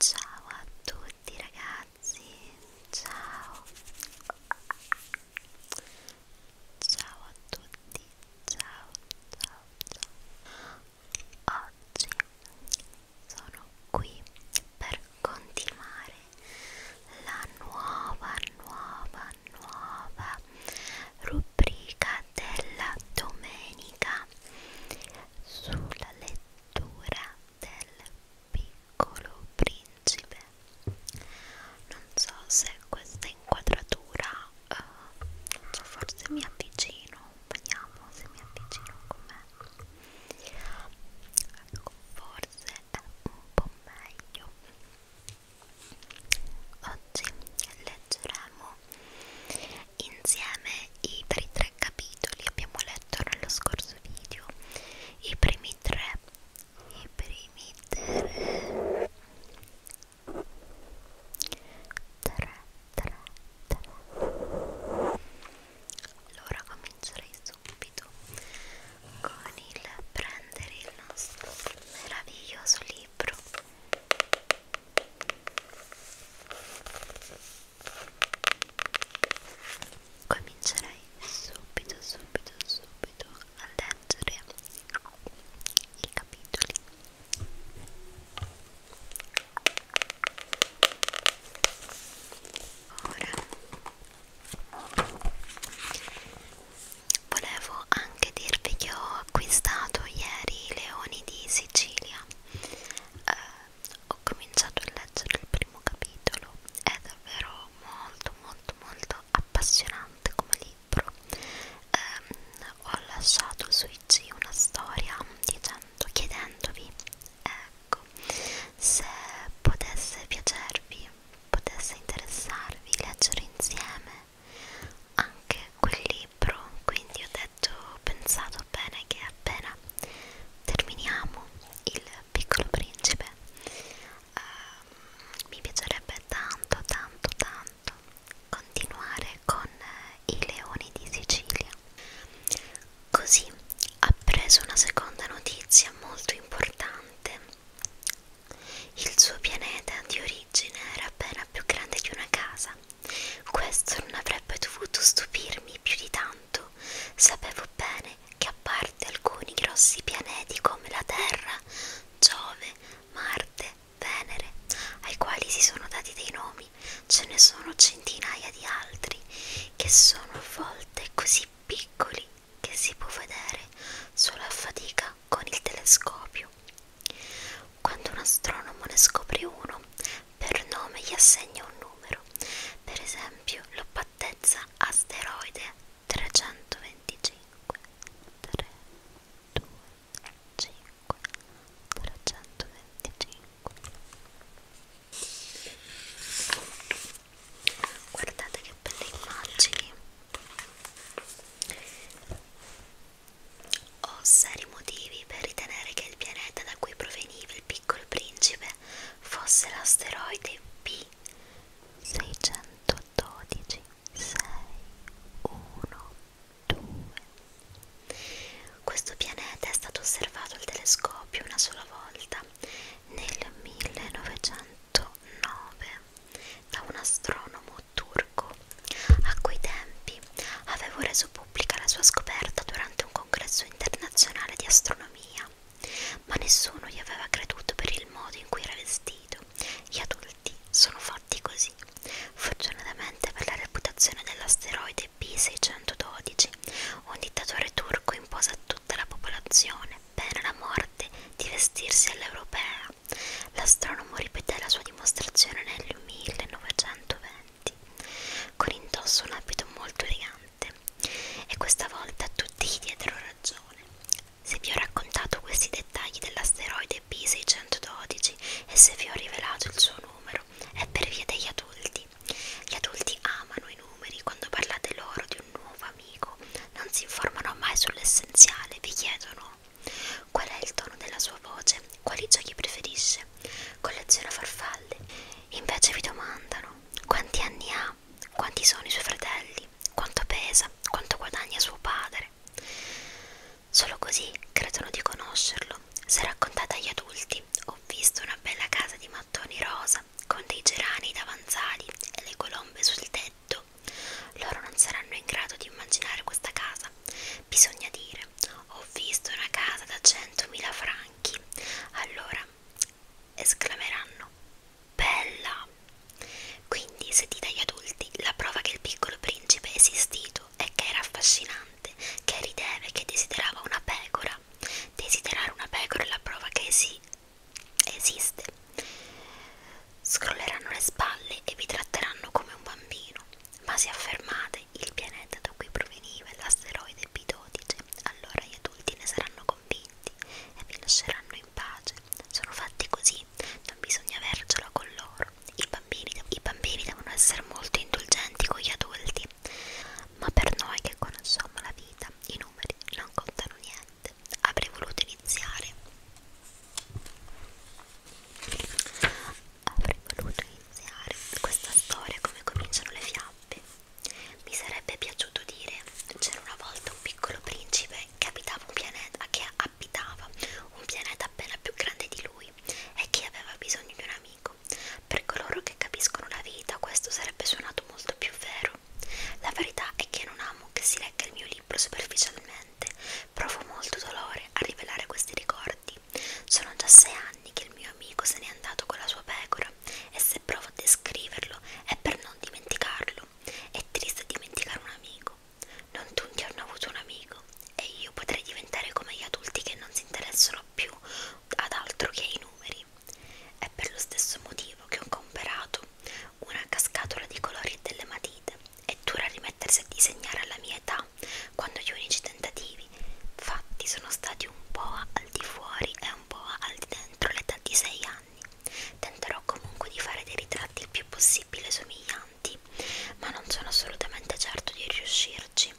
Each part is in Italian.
Ciao a tutti ragazzi, ciao Ciao a tutti, ciao ciao ciao Oggi sono qui per continuare la nuova nuova nuova rubrica della domenica tecnica sulla lettura del piccolo principe non so se questa inquadratura uh, non so forse mi avvicino vediamo se mi avvicino com'è ecco forse è un po' meglio oggi leggeremo insieme i per i tre capitoli abbiamo letto nello scorso video i primi tre i primi tre tre tre tre allora comincerei subito con il prendere il nostro meraviglioso libro Comincerei subito, subito, subito a leggere i capitoli. Ora volevo anche dirvi che ho acquistato ieri i leoni di Sicilia eh, ho cominciato a leggere il primo capitolo è davvero molto molto molto appassionante come libro eh, ho lasciato su IG una storia dicendo, chiedendovi ecco se potesse piacervi potesse interessarvi leggere insieme anche quel libro quindi ho detto ho pensato bene che appena terminiamo il piccolo principe uh, mi piacerebbe tanto tanto tanto continuare con i leoni di Sicilia così ha preso una seconda notizia molto importante il suo pianeta di origine era appena più grande di una casa questo non avrebbe dovuto stupirmi più di tanto. Sapevo bene che a parte alcuni grossi pianeti come la Terra, Giove, Marte, Venere, ai quali si sono dati dei nomi, ce ne sono centinaia di altri che sono a volte così piccoli che si può vedere solo a fatica con il telescopio quando un astronomo ne scopre uno, per nome gli assegna un numero, per esempio l'oppattezza asteroide 325 3, 2, 5, 325 Guardate che belle immagini ho seri motivi per ritenere che il pianeta da cui proveniva il piccolo principe fosse l'asteroide P612 612. Questo pianeta è stato osservato al telescopio una sola volta nel 1909 da un astronomo turco a quei tempi avevo reso pubblica la sua scoperta durante un congresso internazionale di astronomia, ma nessuno gli aveva creduto per il modo in cui era vestito. Gli adulti sono fatti così. Fortunatamente per la reputazione dell'asteroide B612, un dittatore turco impose a tutta la popolazione, pena la morte, di vestirsi all'europea. L'astronomo ripeté la sua dimostrazione nel 1920 con indosso un abito molto elegante e questa volta tutti gli diedero ragione. Se vi ho raccontato questi dettagli dell'asteroide B612 e se vi ho rivelato il suo numero è per via degli adulti. Gli adulti amano i numeri, quando parlate loro di un nuovo amico non si informano mai sull'essenziale, vi chiedono no? Qual è il tono della sua voce? Quali giochi preferisce? Colleziona farfalle. Invece vi domandano quanti anni ha, quanti sono i suoi fratelli, quanto pesa, quanto guadagna suo padre. Solo così credono di conoscerlo. Se raccontate agli adulti, ho visto una bella casa di mattoni rosa con dei gerani davanzali e le colombe sul tetto. Loro non saranno in grado di immaginare questa casa Bisogna dire, ho visto una casa da 100.000 franchi. Allora, esclameranno, bella! Quindi, se dite agli adulti, la prova che il piccolo principe è esistito è che era affascinante, che rideva e che desiderava una pecora. Desiderare una pecora è la prova che si esiste. Scrolleranno le spalle e vi tratteranno come un bambino, ma se affermate il pianeta da cui proveniva l'asteroide B12, allora gli adulti ne saranno convinti e vi lasceranno in pace. Sono fatti così, non bisogna avercela con loro. I bambini, i bambini devono essere molto indulgenti con gli adulti, ma per noi che conosciamo la vita, i numeri non contano niente. Avrei voluto iniziare Avrei voluto iniziare questa storia come cominciano le fiabe. Mi sarebbe piaciuto dire c'era una volta un piccolo principe che abitava un pianeta che abitava un pianeta appena più grande di lui e che aveva bisogno di un amico. Per coloro che capiscono la vita, questo sarebbe suonato molto più vero. La verità è che non amo che si legga il mio libro superficialmente, Provo molto dolore a rivelare questi ricordi. Sono già sei anni che il mio amico se n'è andato con la sua pecora e se provo a descriverlo è per non dimenticarlo. È triste dimenticare un amico. Non tutti hanno avuto un amico e io potrei diventare come gli adulti che non si interessano più ad altro che ai numeri. È per lo stesso motivo che ho comperato una cascatola di colori e delle matite è dura rimettersi a disegnare alla mia età, quando gli unici tentativi fatti sono stati un po' al di fuori e un po' al di dentro l'età di 6 anni. Tenterò comunque di fare dei ritratti il più possibile somiglianti, ma non sono assolutamente certo di riuscirci.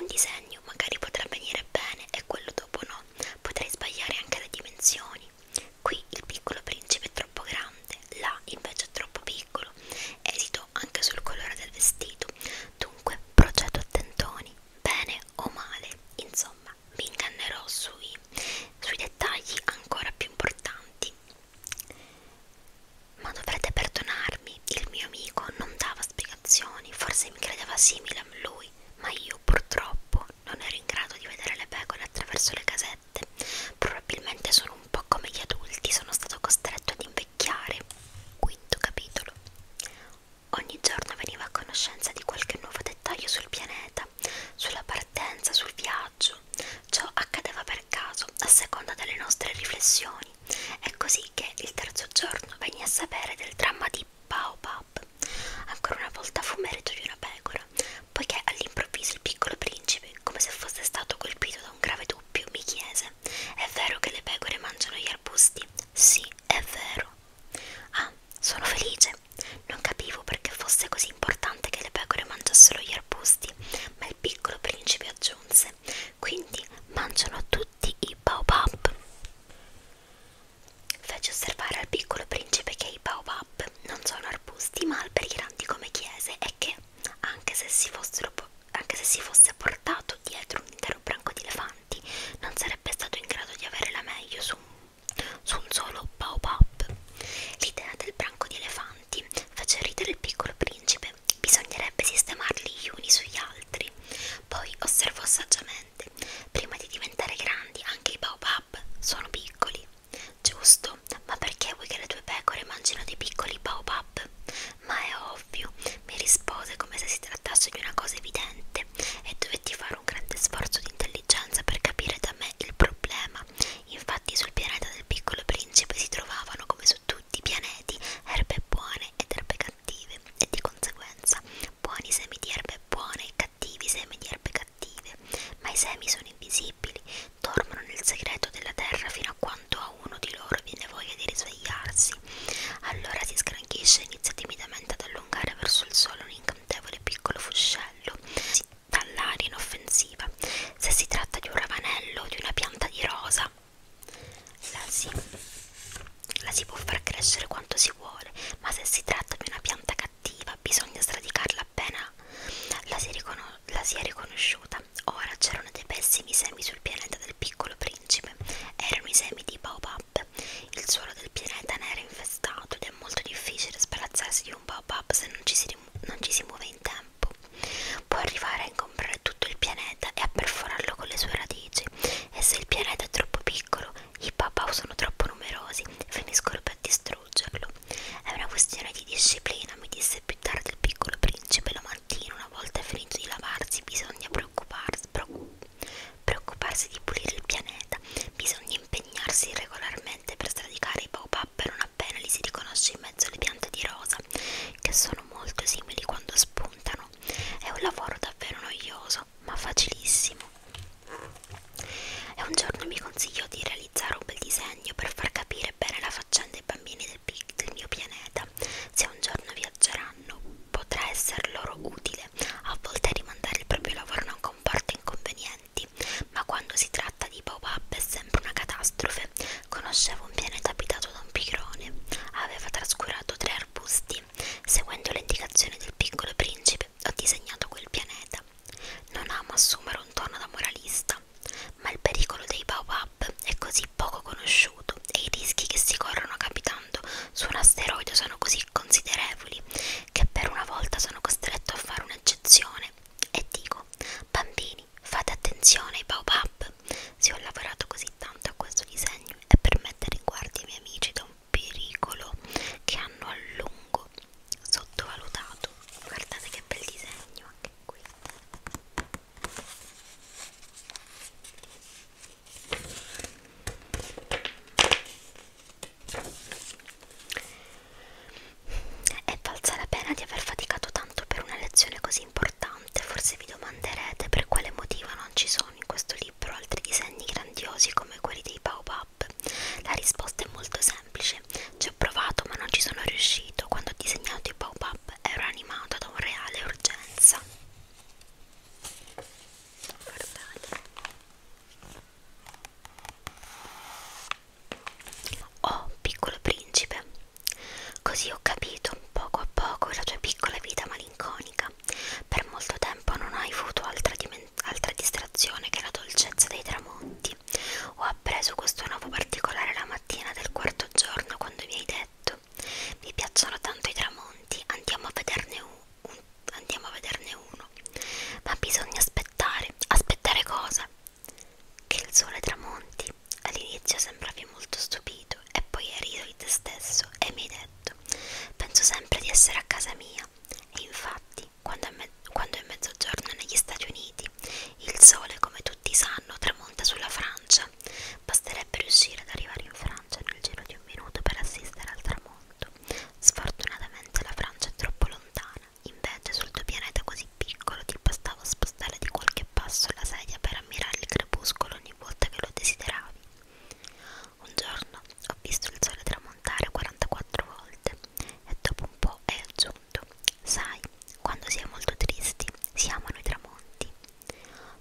Un disegno magari potrà venire bene e quello dopo no, potrei sbagliare anche le dimensioni. Qui il piccolo principe troppo grande, là invece è troppo piccolo. Esito anche sul colore del vestito, dunque procedo a tentoni, bene o male, insomma mi ingannerò sui, sui dettagli ancora più importanti. Ma dovrete perdonarmi, il mio amico non dava spiegazioni, forse mi credeva simile a lui, ma io purtroppo non ero in grado di vedere le pecore attraverso le caselle 37. Probabilmente sono un po' come gli adulti, sono stato costretto ad invecchiare. Quinto capitolo. Ogni giorno veniva a conoscenza di qualche nuovo dettaglio sul pianeta, sulla partenza, sul viaggio. Ciò accadeva per caso, a seconda delle nostre riflessioni. È così che il terzo giorno venni a sapere del dramma di Baobab. Ancora una volta fu merito di una pecora, poiché all'improvviso il piccolo principe, come se fosse stato colpito da un grave dubbio, mi chiese: È vero che le pecore mangiano gli arbusti? Sì, è vero. Ah, sono felice. Non capivo perché fosse così importante che le pecore mangiassero gli arbusti, ma il piccolo principe aggiunse: Quindi mangiano tutti i baobab. Fece osservare al piccolo principe che i baobab tip non sono arbusti ma alberi grandi come chiese è che anche se si, fossero, anche se si fosse portato dietro un intero branco di elefanti non sarebbe stato in grado di avere la meglio su un, su un solo baobab. L'idea del branco di elefanti fece ridere il piccolo principe, bisognerebbe sistemarli gli uni sugli altri. Poi osservò saggiamente, prima di diventare grandi anche i baobab sono piccoli. Giusto, ma perché vuoi che le tue pecore mangino dei piccoli baobab? Ma è ovvio, mi rispose come se si trattasse di una cosa evidente e dovetti fare un grande sforzo di intelligenza per capire da me il problema. Infatti sul pianeta del piccolo principe si trovavano, come su tutti i pianeti, erbe buone ed erbe cattive e di conseguenza buoni semi di erbe buone e cattivi, semi di erbe cattive, ma i semi sono invisibili, dormono nel segreto della terra fino a quando a uno di loro viene voglia di risvegliarsi. Allora si sgranchisce e inizia timidamente ad allungare verso il sole un incantevole piccolo fuscello, dall'aria inoffensiva. Se si tratta di un ravanello o di una pianta di rosa, la si, la si può far crescere quanto si vuole, ma se si tratta di una pianta cattiva, cattiva, bisogna sradicarla appena la si, la si è riconosciuta. Ora c'erano dei pessimi semi sul pianeta del piccolo principe, erano i semi di Baobab. Il suolo del pianeta ne era infestato ed è molto difficile sbarazzarsi di un Baobab se non ci si, non ci si muove in tempo. Può arrivare a incomprare tutto il pianeta e a perforarlo con le sue radici. E se il pianeta è troppo piccolo, i Baobab sono troppo numerosi, finiscono per distruggere distruggerlo. È una questione di disciplina, mi disse più tardi il piccolo principe la mattina, una volta finito di lavarsi bisogna preoccuparsi, preoccuparsi di pulire il pianeta, bisogna impegnarsi regolarmente per sradicare i baobab non appena li si riconosce in mezzo alle piante di rosa, che sono molto simili quando spuntano. È un lavoro davvero noioso, ma facilissimo. E un giorno mi consigliò di realizzare un bel disegno per far capire bene la faccenda ai bambini del, del mio pianeta. Se un giorno viaggeranno, potrà essere loro utile. A volte rimandare il proprio lavoro non comporta inconvenienti, ma quando si tratta di pop-up è sempre una catastrofe. Conoscevo un pianeta abitato da un pigrone, aveva trascurato tre arbusti. Seguendo le indicazioni del piccolo principe, ho disegnato quel pianeta. Non ama assumere un tono da moralista, ma il pericolo dei baobab è così poco conosciuto e i rischi che si corrono capitando su un asteroide sono così considerevoli che per una volta sono costretto a fare un'eccezione e dico bambini fate attenzione ai baobab se ho lavorato così tanto a questo disegno è per mettere in guardia i miei amici da un pericolo che hanno a lungo sottovalutato guardate che bel disegno anche qui è valsa la pena di aver faticato tanto per una lezione così importante forse vi domanderete per quale motivo non ci sono in questo libro altri disegni grandiosi come quelli dei baobab app? La risposta è molto semplice, ci ho provato ma non ci sono riuscito, quando ho disegnato i pop-up ero animato da una reale urgenza. Guardate. Oh, piccolo principe, così ho capito poco a poco la tua piccola vita malinconica. Per molto tempo non hai avuto altra dimensione altra distrazione che la dolcezza dei tramonti. Ho appreso questo nuovo particolare la mattina del quarto giorno quando mi hai detto: Mi piacciono tanto i tramonti, andiamo a vederne, un, un, andiamo a vederne uno. Ma bisogna aspettare. Aspettare cosa? Che il sole tramonti. All'inizio sembravi molto stupito e poi hai riso di te stesso e mi hai detto: Penso sempre di essere a casa mia. E infatti Uniti. Quando è, quando è mezzogiorno negli Stati Uniti, il sole, come tutti sanno, tramonta sulla Francia. Basterebbe riuscire ad arrivare in Francia nel giro di un minuto per assistere al tramonto. Sfortunatamente la Francia è troppo lontana. Invece sul tuo pianeta così piccolo ti bastava spostare di qualche passo la sedia per ammirare il crepuscolo ogni volta che lo desideravi. Un giorno ho visto il sole tramontare 44 volte e dopo un po' è aggiunto, sai, quando si è molto tristi si amano i tramonti.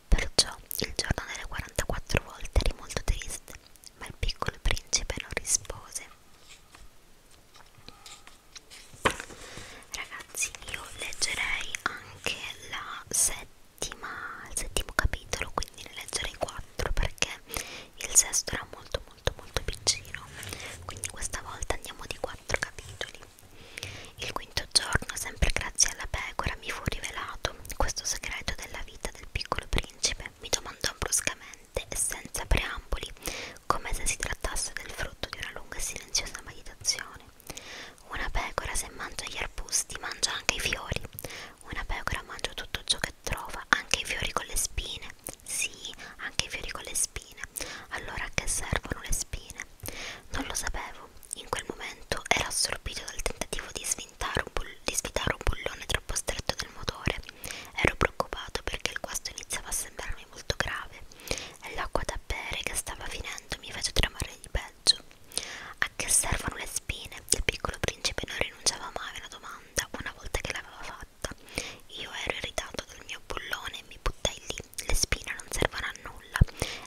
Perciò il giorno delle 44 volte eri molto triste, ma il piccolo principe non rispose. Ragazzi, io leggerei anche la settima, il settimo capitolo, quindi ne leggerei 4 4 perché il sesto era molto molto molto piccino quindi questa volta andiamo di 4 capitoli il quinto giorno sempre grazie alla pecora mi fu rivelato questo segreto della vita del piccolo principe mi domandò bruscamente e senza preamboli come se si trattasse del frutto di una lunga e silenziosa meditazione una pecora se mangia gli arbusti mangia anche i fiori una pecora mangia tutto ciò che trova, anche i fiori con le spine. Sì, anche i fiori con le spine. Allora a che servono le spine? Non lo sapevo. In quel momento ero assorbito dal tentativo di, un di svitare un bullone troppo stretto del motore. Ero preoccupato perché il guasto iniziava a sembrarmi molto grave e l'acqua da bere che stava finendo mi fece tremare il peggio. A che servono le spine? Il piccolo principe non rinunciava mai a una domanda domanda una volta che l'aveva fatta. Io ero irritato dal mio bullone e mi buttai lì. Le spine non servono a nulla,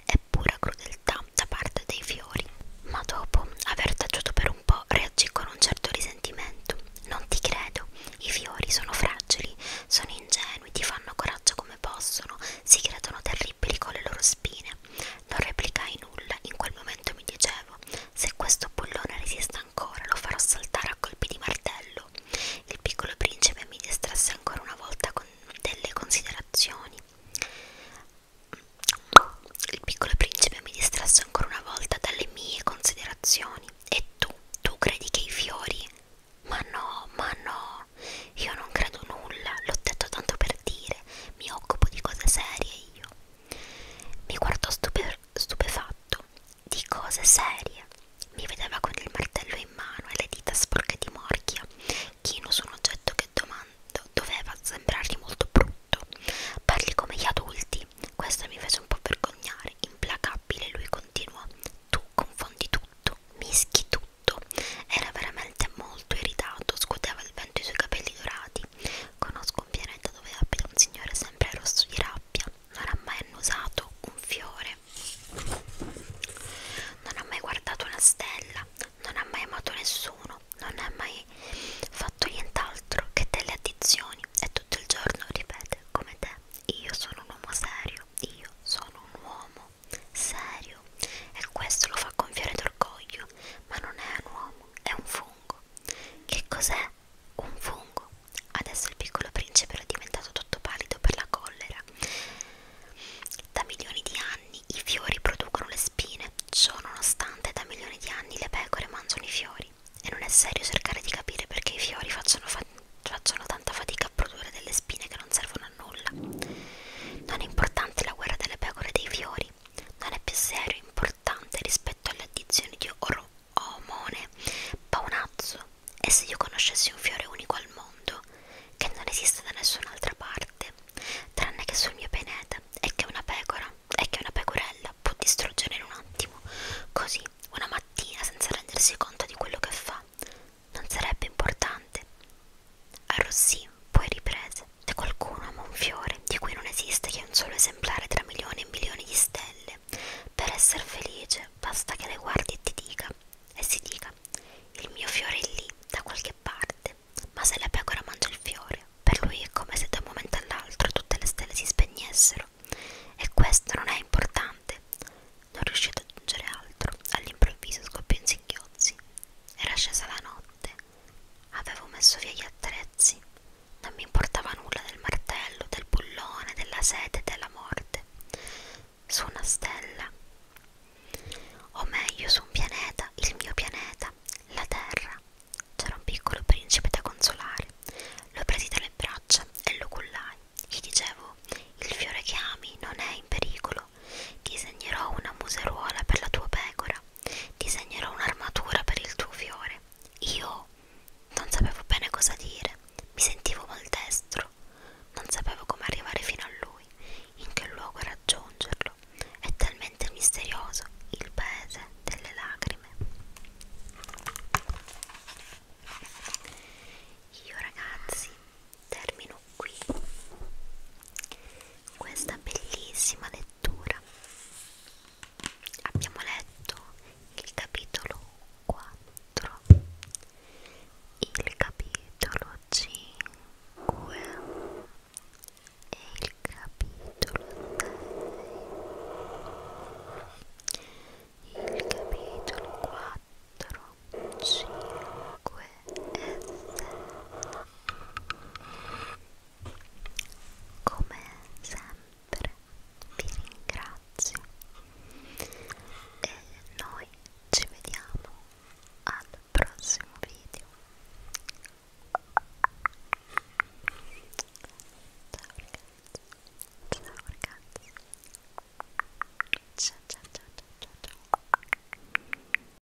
è pura crudeltà da parte dei fiori. Ma dopo aver taciuto per un po', reagì con un certo risentimento. Non ti credo, i fiori sono fragili, sono ingenui, ti fanno coraggio come possono, si credono terribili con le loro spine. Non replicai nulla, in quel momento mi dicevo: se questo bullone resiste ancora, lo farò saltare a colpi di martello. Il piccolo principe mi distrasse ancora una volta con delle considerazioni. Il piccolo principe mi distrasse ancora una volta dalle mie considerazioni. E tu, tu credi che i fiori? Ma no, ma no, io non credo nulla, l'ho detto tanto per dire, mi occupo di cose serie io. Mi guardò stupe stupefatto, di cose serie. Mi vedeva con il martello in mano e le dita sporche di morchia, chino su un oggetto che domando doveva sembrargli molto brutto. Parli come gli adulti, questo mi fece un po' vergognare. Implacabile, lui continuò: Tu confondi tutto, mischi tutto. Era veramente molto irritato, scuoteva il vento i suoi capelli dorati Conosco un pianeta dove abita un signore sempre rosso di rabbia. Non ha mai annusato un fiore. Non ha mai guardato una stella. Non ha mai amato nessuno. Non ha mai fatto nient'altro che delle addizioni. E tutto il giorno ripete come te. Io sono un uomo serio. Io sono un uomo serio. E questo lo fa gonfiare d'orgoglio. Ma non è un uomo, è un fungo fungo. Che cos'è un fungo? Adesso il piccolo principe era diventato tutto pallido per la collera. Da milioni di anni i fiori producono le spine, ciò nonostante da milioni di anni le pecore mangiano i fiori. E non è serio cercare di capire perché i fiori facciano, fa facciano tanta fatica a produrre delle spine che non servono a nulla. Non è importante la guerra delle pecore e dei fiori, non è più serio e importante rispetto alle addizioni di oro, omone, paonazzo. E se io conoscessi un fiore unico al mondo, che non esiste da nessun'altra parte, tranne che sul mio pianeta, e che una pecora, e che una pecorella può distruggere in un attimo, così, una mattina, senza rendersi conto di quello che fa, non sarebbe importante. Arrossì poi riprese da qualcuno ama un fiore di cui non esiste che un solo esemplare tra milioni e milioni di stelle. Per essere felice basta che le guardi e ti dica, e si dica, il mio fiore è lì, da qualche parte, ma se la pecora mangia il fiore, per lui è come se da un momento all'altro tutte le stelle si spegnessero. E questo non è importante. Non riuscì ad aggiungere altro, all'improvviso scoppiò in singhiozzi. Era scesa la notte, Avevo messo via gli attrezzi, non mi importava nulla del martello, del bullone, della sete e della morte. Su una stella, o meglio su un pianeta, il mio pianeta, la Terra, c'era un piccolo principe da consolare. Lo presi dalle braccia e lo cullai. Gli dicevo: Il fiore che ami non è in pericolo. Disegnerò una museruola per la tua pecora disegnerò un'armatura per il tuo fiore. Io non sapevo bene cosa dire, mi sentivo maldestro, non sapevo come arrivare fino a lui, in che luogo raggiungerlo. È talmente misterioso il paese delle lacrime. Io ragazzi termino qui questa bellissima lettura lettura abbiamo letto il capitolo 4 il capitolo 5 e il capitolo 6 il capitolo 4 5 come sempre vi ringrazio e noi ci vediamo al prossimo video ciao ragazzi ciao ragazzi ciao ciao ciao ciao ciao, ciao.